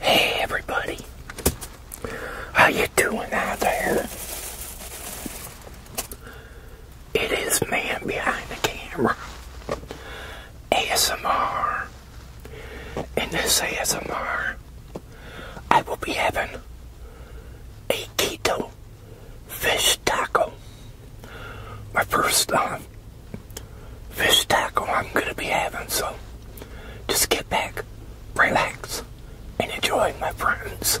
Hey everybody, how you doing out there? It is man behind the camera, ASMR. In this ASMR, I will be having a keto fish taco. My first time fish taco I'm going to be having. So just get back, relax, and enjoy, my friends.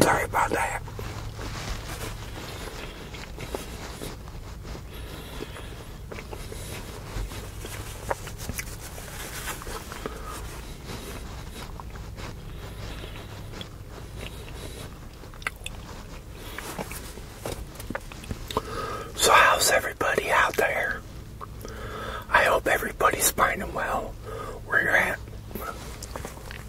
Sorry about that. So how's everybody out there? I hope everybody's finding well where you're at.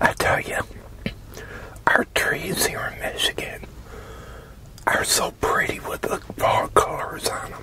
I tell you, our trees here in Michigan are so pretty with the fall colors on them.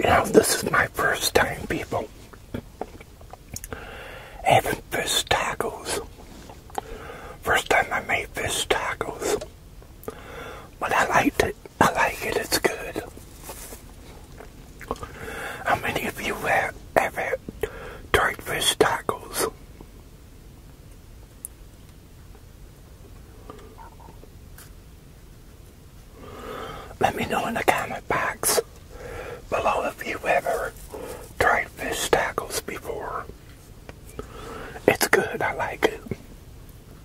You know, this is my first time, people, having fish tacos. First time I made fish tacos, but I liked it. I like it, it's good. How many of you have ever tried fish tacos? Let me know in the comment box below if you ever tried fish tacos before. It's good, I like it.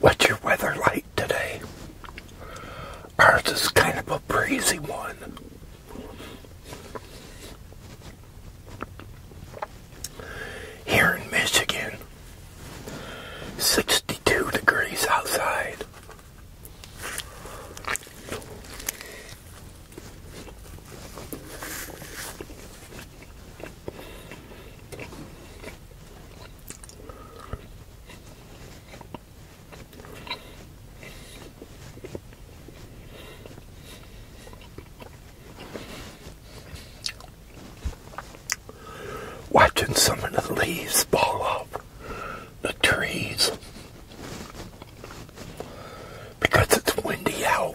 What's your weather like today? Ours is kind of a breezy one. Here in Michigan, 62 degrees outside. Watching some of the leaves fall off the trees because it's windy out.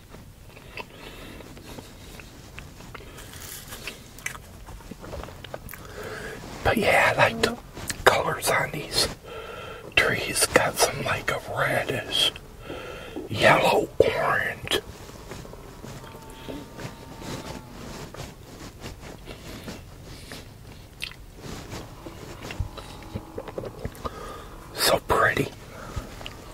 But yeah, I like the colors on these trees. Got some like a reddish, yellow, orange. So pretty.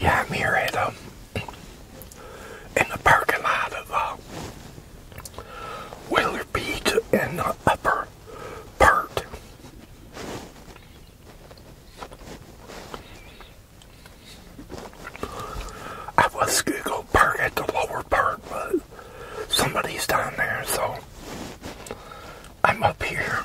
Yeah, I'm here at um in the parking lot of uh, Wheeler in the upper part. I was going to park at the lower part, but somebody's down there, so I'm up here.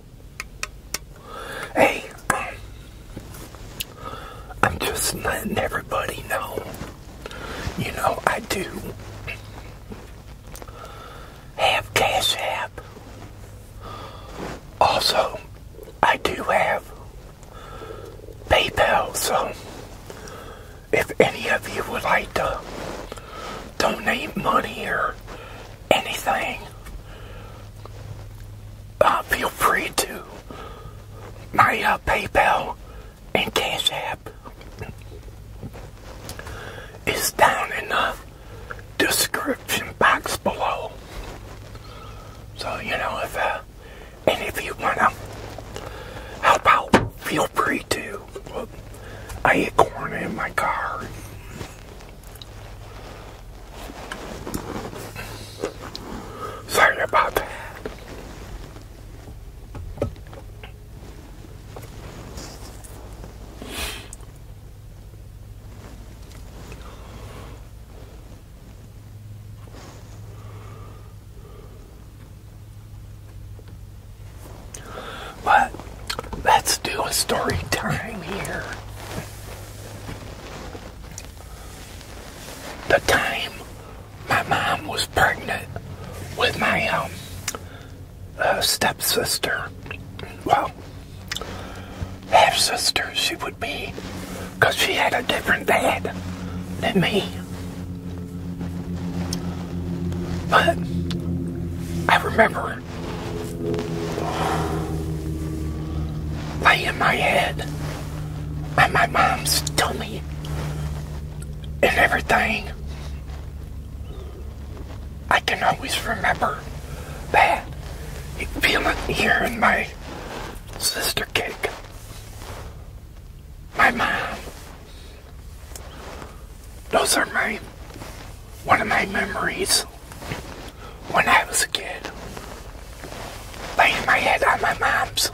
Hey, I'm just letting everybody know. You know, I do have Cash App. Also, I do have PayPal, so if any of you would like to donate money or anything, uh, feel free to my uh, PayPal and Cash App is down in the description box below. So, you know, if uh, any of you want to help out, feel free to. I had corn in my car. Sorry about that. But let's do a story time here the time my mom was pregnant with my um, uh, stepsister. Well, half sister she would be, because she had a different dad than me. But I remember over, laying my head and my mom's tummy and everything. I can always remember that feeling hearing my sister cake, my mom. Those are my one of my memories when I was a kid. Laying my head on my mom's,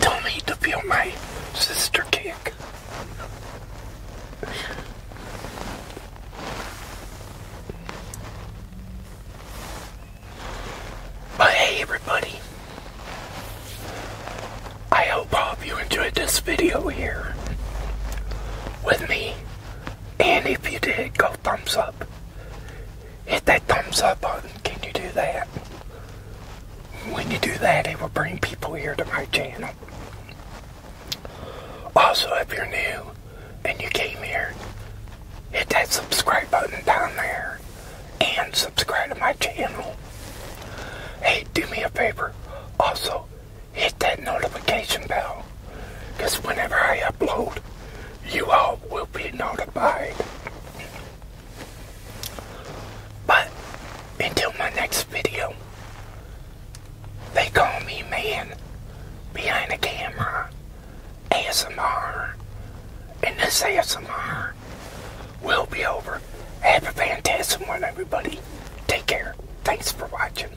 told me to feel my sister kick. hey everybody, I hope you enjoyed this video here with me and if you did, go thumbs up. Hit that thumbs up button. Can you do that? When you do that, it will bring people here to my channel. Also, if you're new and you came here, hit that subscribe button down there and subscribe to my channel. Hey, do me a favor. Also, hit that notification bell because whenever I upload, you all will be notified. But until my next video, they call me man behind the camera, ASMR, and this ASMR will be over. Have a fantastic one, everybody. Take care. Thanks for watching.